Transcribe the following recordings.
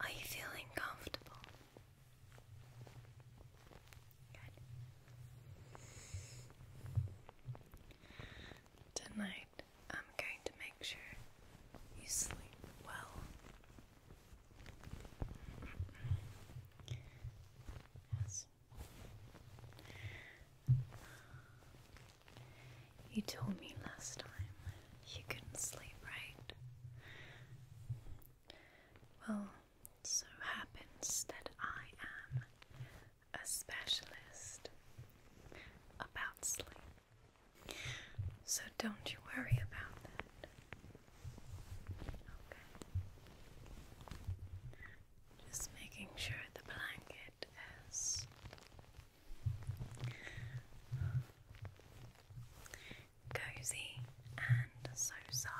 Are you feeling comfortable? Tonight, I'm going to make sure you sleep well. Yes. You told me last time you couldn't sleep, right? Well, so happens that I am a specialist about sleep. So don't you worry about that. Okay. Just making sure the blanket it cozy and so soft.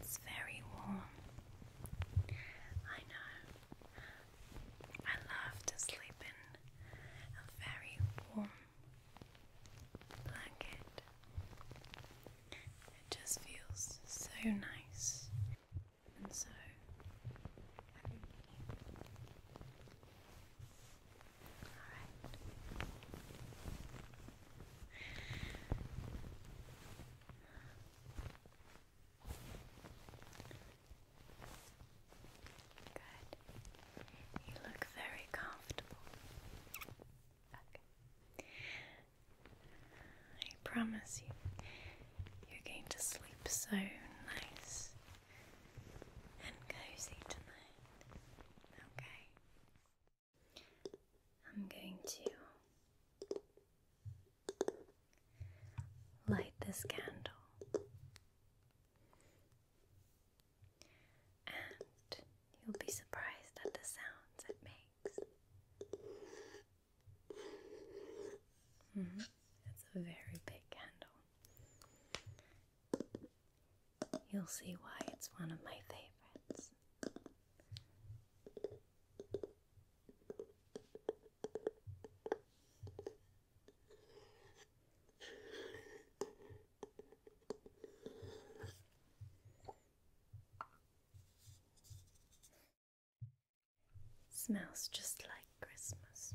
It's very warm. I know. I love to sleep in a very warm blanket. It just feels so nice and so Alright. Good. You look very comfortable. Okay. I promise you, you're going to sleep so nice and cozy tonight. Okay. I'm going to light this candle and you'll be surprised at the sounds it makes. It's mm-hmm. a very big candle. You'll see why it's one of my favorites. Smells just like Christmas.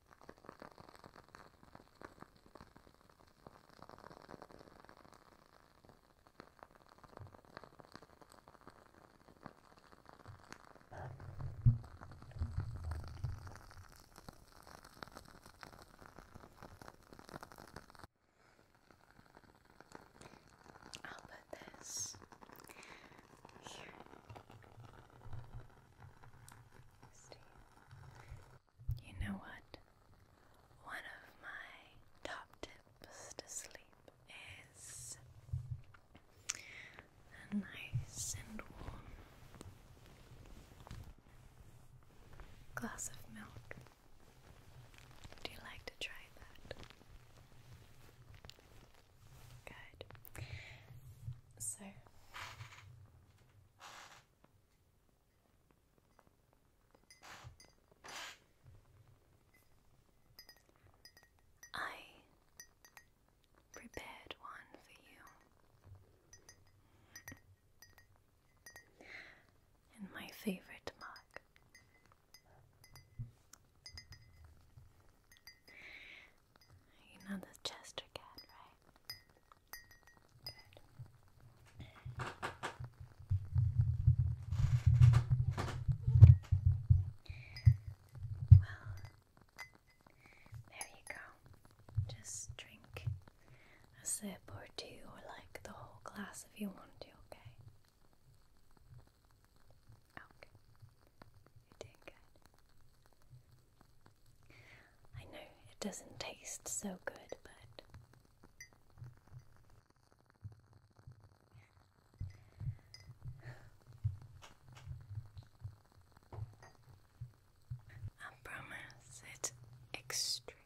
I'll put this here. Steve. You know what? One of my top tips to sleep is a nice and warm glass of milk. Would you like to try that? Good. So, I prepared one for you. And my favorite mug. You know the Chester cat, right? Well, there you go. Just drink a sip or two, or like the whole glass if you want to, okay? Okay. You're good. I know it doesn't taste so good, but I promise it's extremely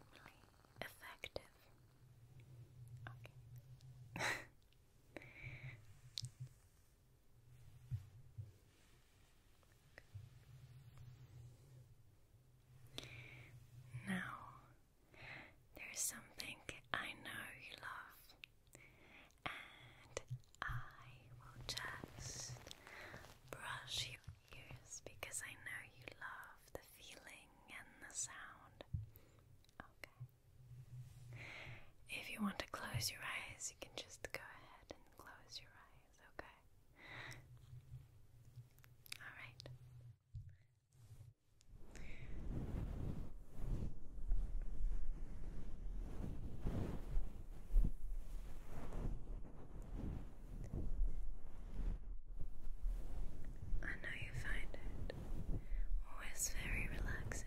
effective. Okay. Now, there is something I know you love, and I will just brush your ears because I know you love the feeling and the sound. Okay. If you want to close your eyes, you can just go ahead and close your eyes eyes, okay? Alright. I know you find it always very relaxing.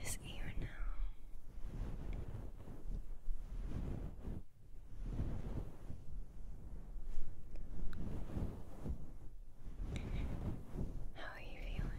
This ear now. How are you feeling?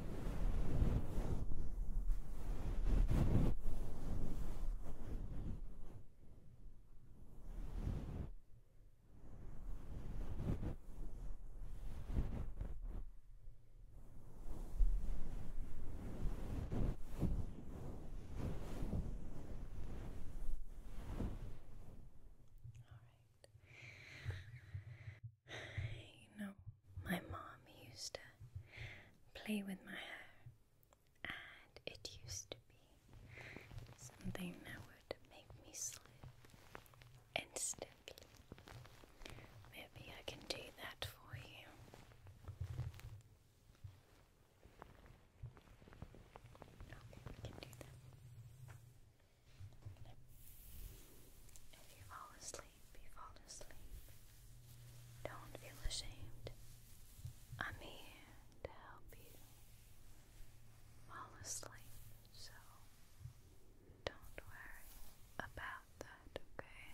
All right. You my mom used to play with my hair, and it used to be something that would make me sleep. instantly. Maybe I can do that for you. Okay, we can do that. If you fall asleep, asleep, you fall asleep. Don't feel ashamed. I'm here to help you fall asleep, so don't worry about that, okay?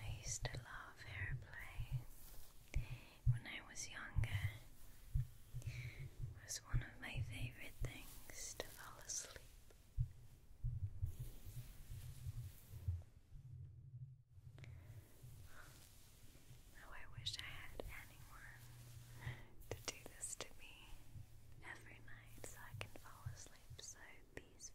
I used to love airplay when I was younger. It was one of my favorite things to fall asleep. How oh, I wish I had anyone to do this to me every night so I can fall asleep so peacefully.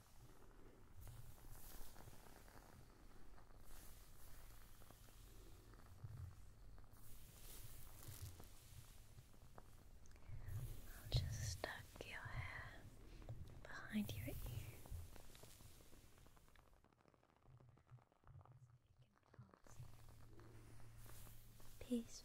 I'll just stuck your hair behind your ear. Peacefully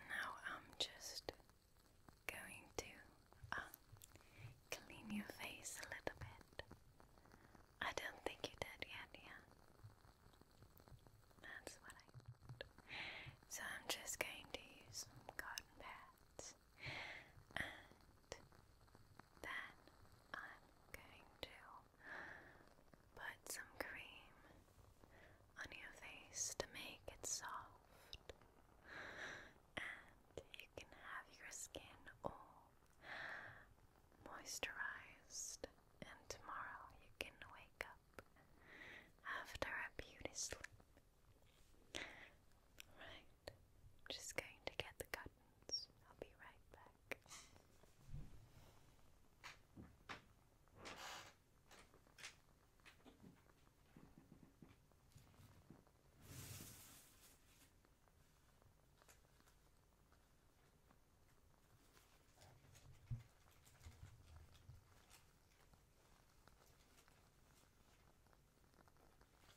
Now I'm just going to uh, clean your face a little bit. I don't think you did yet, yeah. That's what I did. So I'm just going to use some cotton pads then I'm going to put some cream on your face to make it soft. And you can have your skin all moisturized. And tomorrow you can wake up after a beauty sleep. Right. I'm just going to get the curtains. I'll be right back.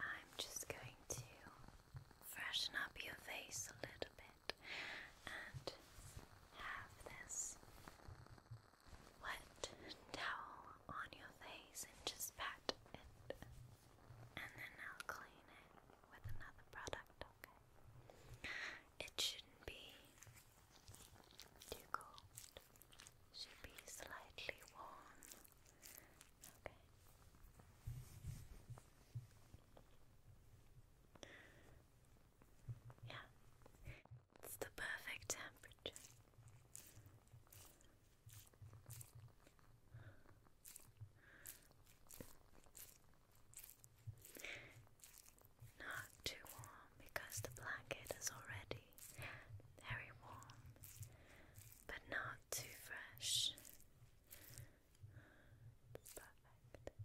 I'm just going to freshen up your face a little bit and have this wet towel on your face and just pat it, and then I'll clean it with another product, okay? It shouldn't be too cold. Should be slightly warm. Okay. Yeah. It's the perfect temperature. Not too warm because the blanket is already very warm, but not too fresh. perfect. Perfect.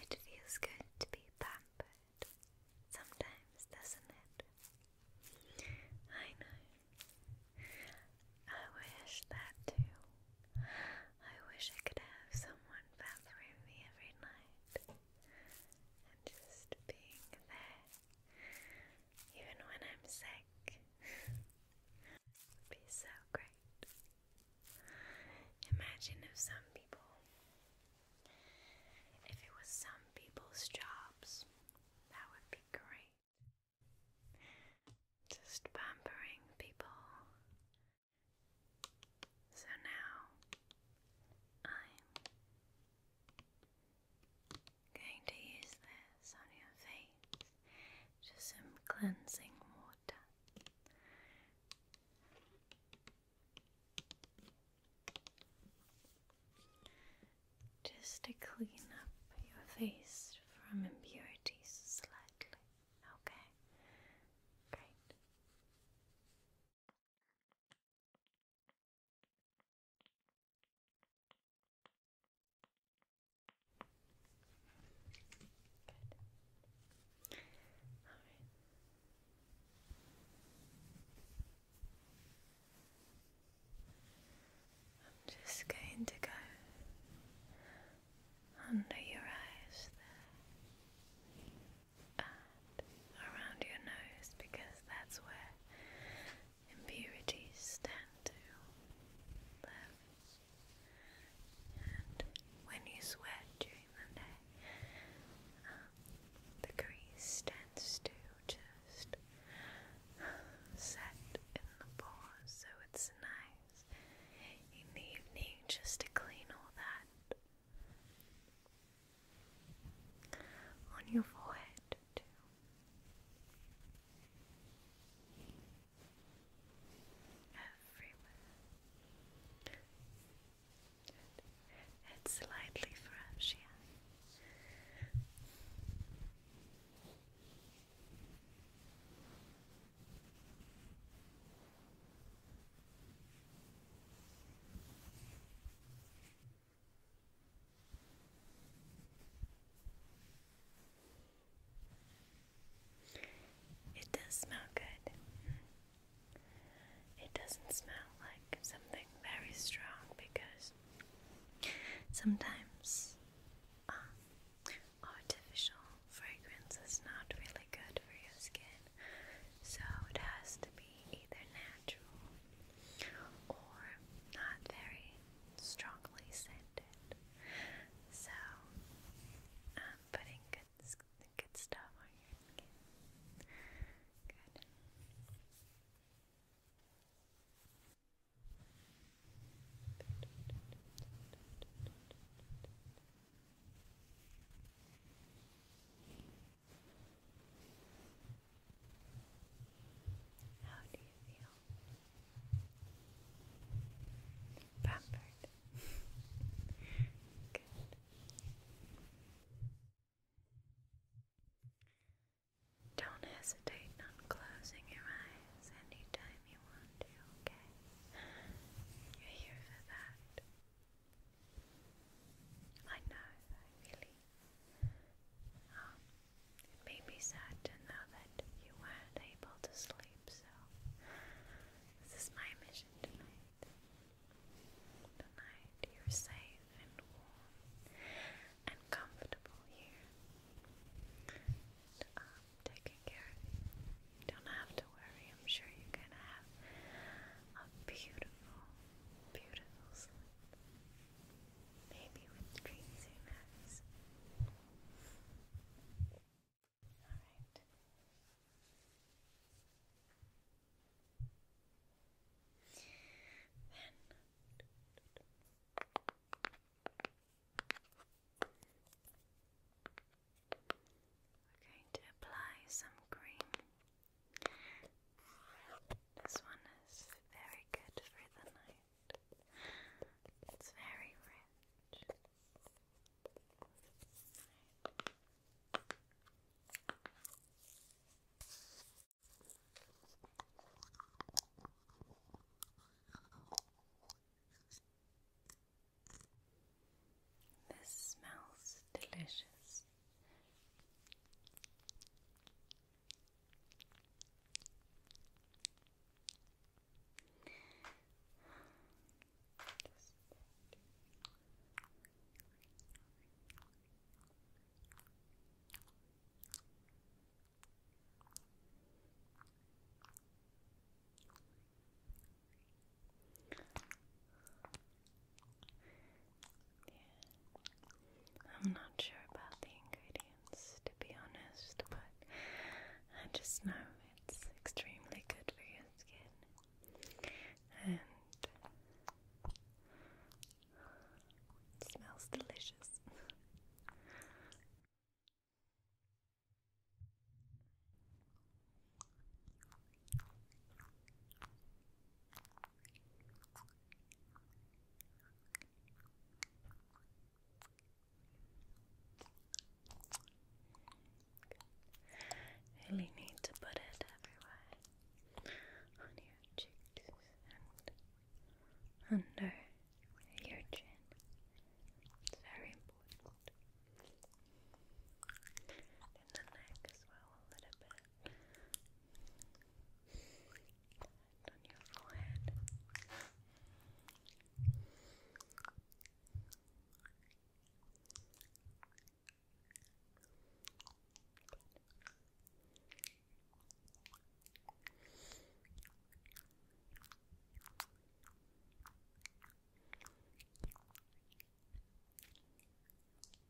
It feels good to be pampered sometimes, doesn't it? I know. I wish that too. I wish I could have someone pampering me every night and just being there, even when I'm sick, would be so great. Imagine if some people, if it was some people's jobs, that would be great. Just pampering people so now I'm going to use this on your face, just some cleansing water. Just to clean up your face from impurities slightly. Okay? Great right. I'm just going to go under your eyes there around your nose because that's where impurities tend to live. And when you sweat during the day, um, the grease tends to just set in the pores, so it's nice in the evening just to clean all that on your forehead, too. Everywhere. It's slightly fresh, it does smell good. It doesn't smell like something very strong because sometimes um, artificial fragrance is not really good for your skin. So it has to be either natural or not very strongly scented. So I'm um, putting good, good stuff on your skin. Good. Good. How do you feel? Pampered. Good. Don't hesitate on closing your eyes anytime you want to, okay? You're here for that. I know, I really. Um, it made me sad to know that you weren't able to sleep, so this is my mission tonight. Tonight you're safe and warm and comfortable here. I'm um, taking care don't have to worry. I'm sure you're gonna have a beautiful, beautiful sleep. Maybe with dreams, who Alright. Then. We're going to apply some cream this one is very good for the night. It's very rich. This smells delicious. I'm not sure about the ingredients to be honest, but I just know it's extremely good for your skin. And smells delicious. Really need to put it everywhere on your cheeks and under your chin. It's very important in the neck as well a little bit. on your forehead.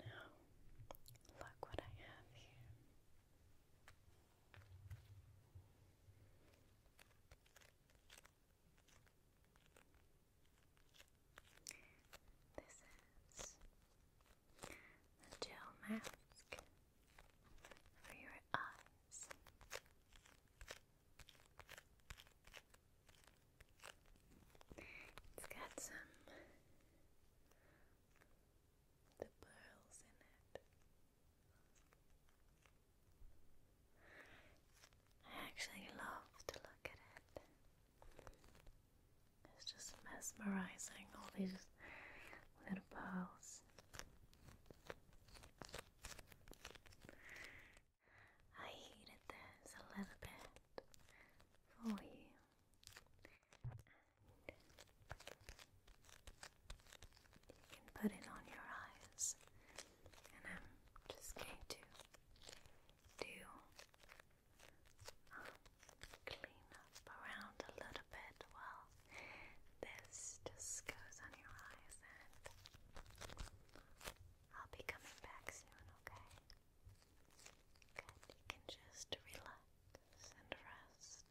Now, look what I have here. This is a gel mask for your eyes. It's got some the pearls in it. I actually love to look at it. It's just mesmerizing all these little pearls. I heated this a little bit for you. you can put it on your eyes, and I'm just going to do clean up around a little of this just goes on your eyes, and I'll be coming back soon, okay? Good, you can just relax and rest.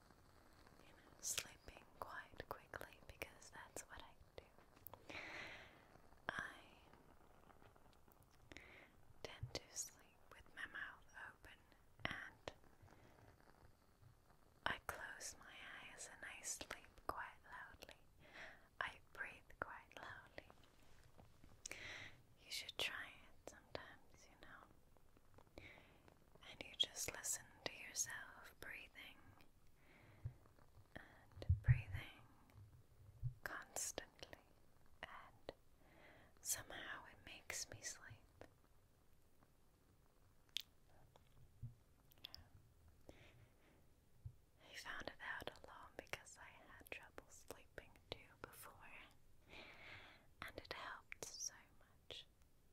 you sleeping quite quickly because that's what I do. I tend to sleep with my mouth open and I close my eyes and I sleep quite loudly. I breathe quite loudly. You should try it sometimes, you know and you just listen to yourself breathing and breathing constantly, and somehow it makes me sleep. I found it out alone because I had trouble sleeping too before, and it helped so much.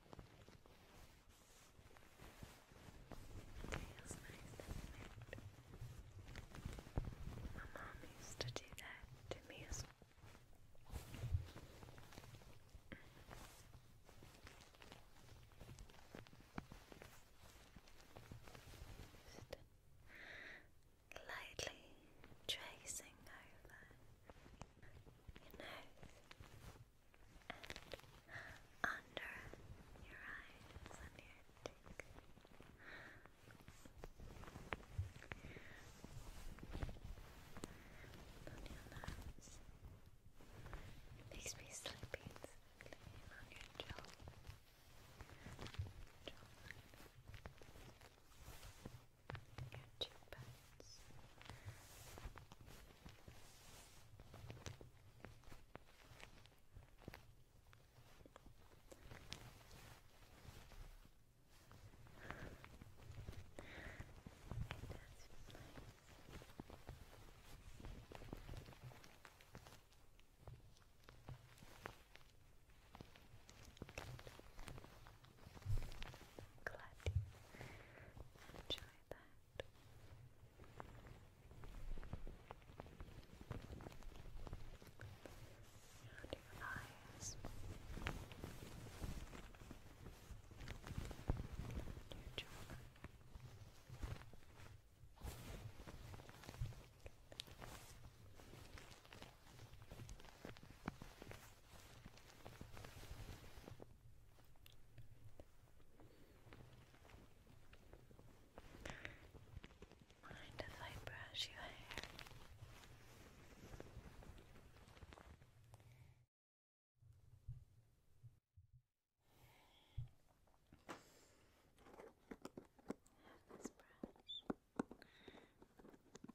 Feels nice, My mom used to do that to me lightly tracing over your nose, and under your eyes, under your cheek. On your nose. Makes me sleepy. on your Jaw. Your two pets. That's nice. Good. Glad you enjoy that. How your eyes? Your jaw. Mind if I brush your hair? Have this brush.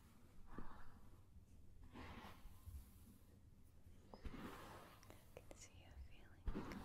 I can see you feeling a little bit sleepy.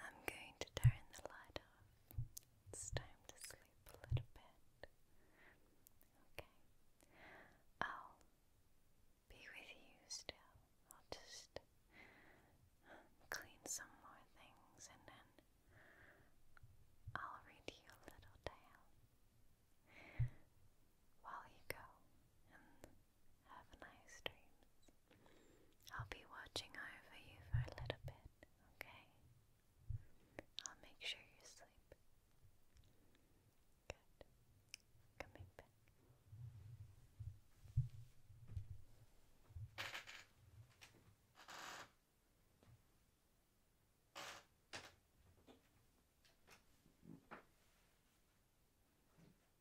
I'm going to turn the light off. It's time to sleep a little bit. Okay. I'll be with you still. I'll just um, clean some more things and then I'll read you a little tale while you go and have nice dreams. I'll be watching over you for a little bit, okay? I'll make sure you sleep. Good. Coming back.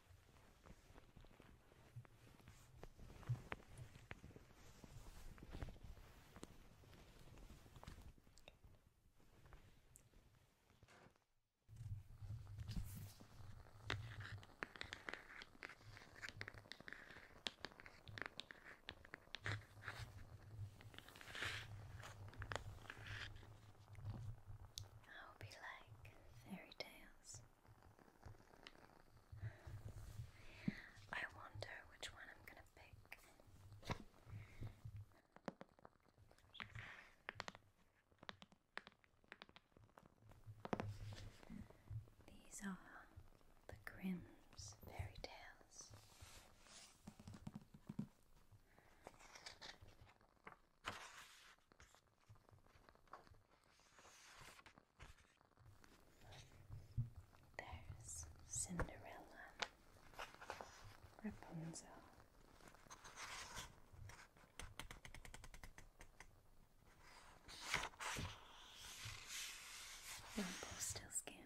I hope you like fairy tales. I wonder which one I'm gonna pick. These are the Grimm's fairy tales. There's Cinderella, Rapunzel. Rumpelstiltskin,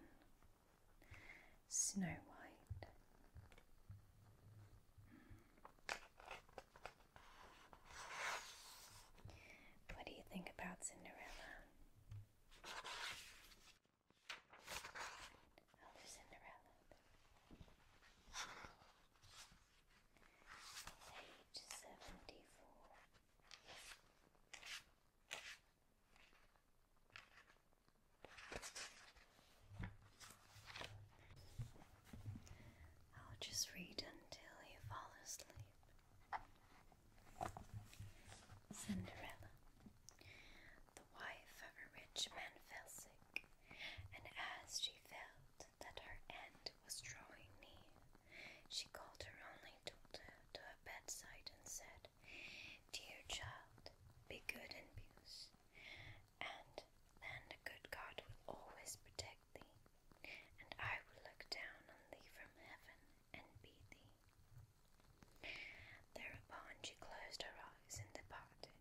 Snow White, what do you think about Cinderella? Oh, Cinderella. Page 74. I'll just read until you fall asleep. Cinderella. The wife of a rich man fell sick, and as she felt that her end was drawing near, she called her only daughter to her bedside and said, Dear child, be good and peace, and then the good God will always protect protect thee, and I will look down on thee from heaven and beat thee. Thereupon she closed her eyes and departed.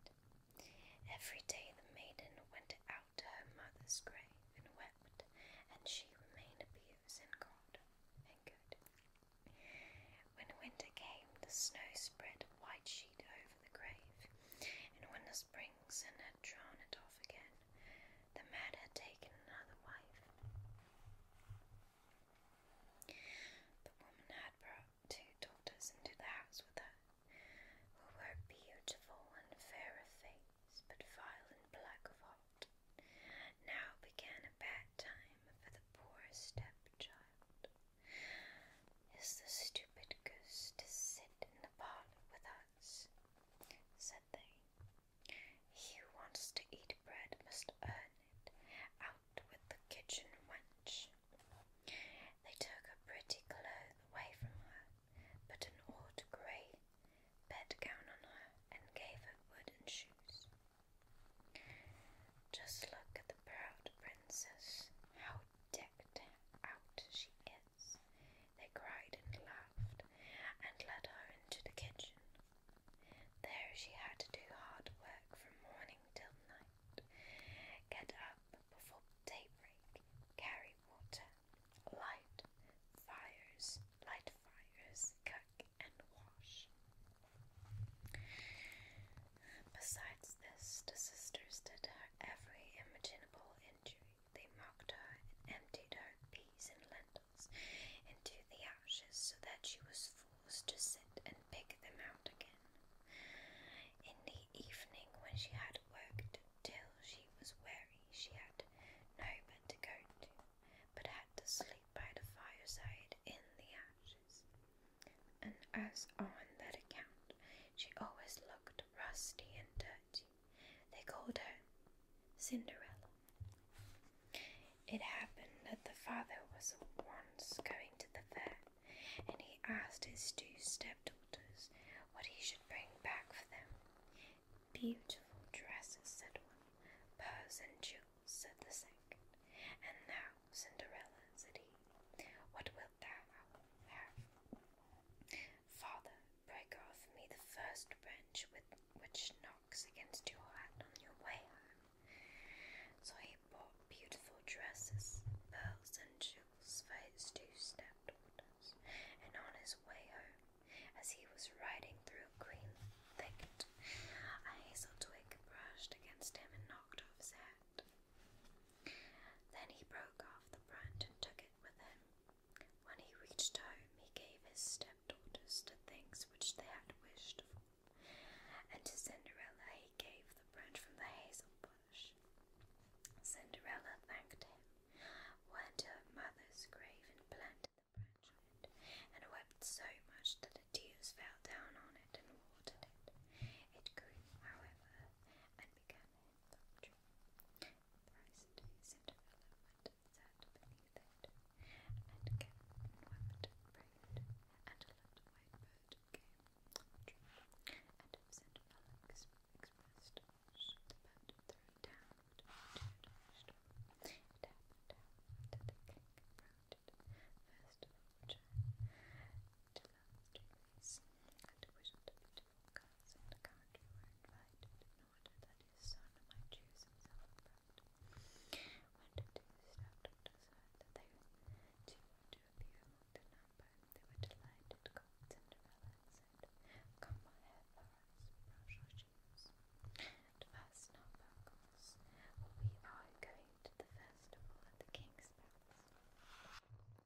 Every day the maiden went out to her mother's grave and wept, and she remained a pious and God and good. When winter came, the snow spread a white sheet over the grave, and when the spring and had drawn it off again, the man had taken another wife. The woman had brought two daughters into the house with her, who were beautiful and fair of face, but vile and black of heart. Now began a bad time for the poor stepchild. Is the stupid goose to sit in the parlour with us? said they. He who wants to eat bread must earn it. Out with the kitchen wench. They took a pretty cloth away from her, put an odd grey bedgown on her, and gave her wooden shoes. Just look at the proud princess, how decked out she is! They cried and laughed and led her into the kitchen. There she had to do hard work from morning till night, get up before daybreak, carry water, light fires, light fires, cook and wash. Besides this, the sisters did her every imaginable injury they mocked her and emptied her peas and lentils into the ashes so that she was forced to sit and pick them out again. In the evening, when she had worked till she was weary, she had no nowhere to go to, but had to sleep by the fireside in the ashes. And as on that account, she always looked rusty and dirty, they called her Cinderella. It happened that the father was once going to the fair, and he asked his two stepdaughters what he should bring back for them. Beautiful dresses, said one. Pearls and jewels, said the second. And now, Cinderella, said he, what wilt thou have? Father, break off me the first branch with which knocks against your hat on your way home. So he bought beautiful dresses, pearls, and jewels for his two stepdaughters, and on his way home, as he was riding through a green thicket, a hazel twig brushed against him and knocked off his hat. Then he broke off the branch and took it with him when he reached home, he gave his stepdaughters the things which they had wished for, and to Cinderella he gave the branch from the hazel bush. Cinderella thanked him, went to her mother's grave, and planted the branch on it, and wept so much that the tears fell down on it and watered it. It grew, however, and began doctrine. Priced is a development that beneath it, and Captain wept, prayed, and a little white bird came, and of St. Felix expressed the bird threw down to the It happened, however, that the king approached first of all, to last Greece, and wished a beautiful girls in the country were invited, wanted that When the two stepped to decide they were delighted. Called Cinderella and said, Come on here for shoes. And first not back us, we are going to the festival at the king's palace.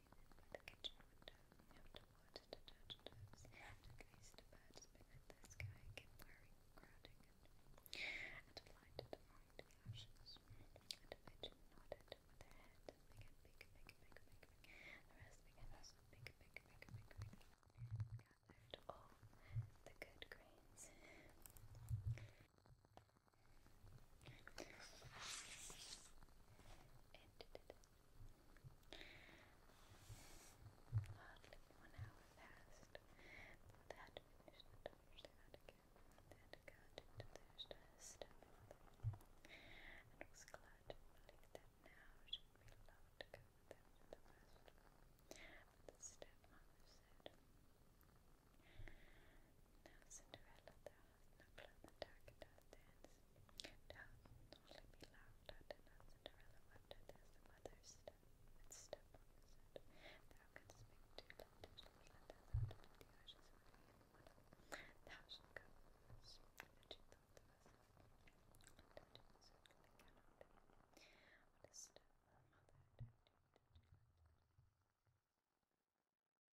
by the kitchen window, after water to touch toes, to gaze to birds beneath the sky, keep crowding, and, and lighted among the ashes. And a pigeon nodded with her head and began big, big, big, big, big. The rest began also big, big, big, big, big. Gathered all the good grains. Hardly one hour passed without had to finish the doctor's out again. They had got into their stepmother, and was glad to believe that now should be allowed to go with them to the hospital. But the stepmother said, now Cinderella, thou hast no cloth and darkened doth dance. Thou only be Cinderella wept at this, the mother step step on the set. Thou canst make two lanterns, let thou out of the ashes of the one. Thou shalt go that she thought of us. And that it was certainly cannot be. What a step, mother, don't do that.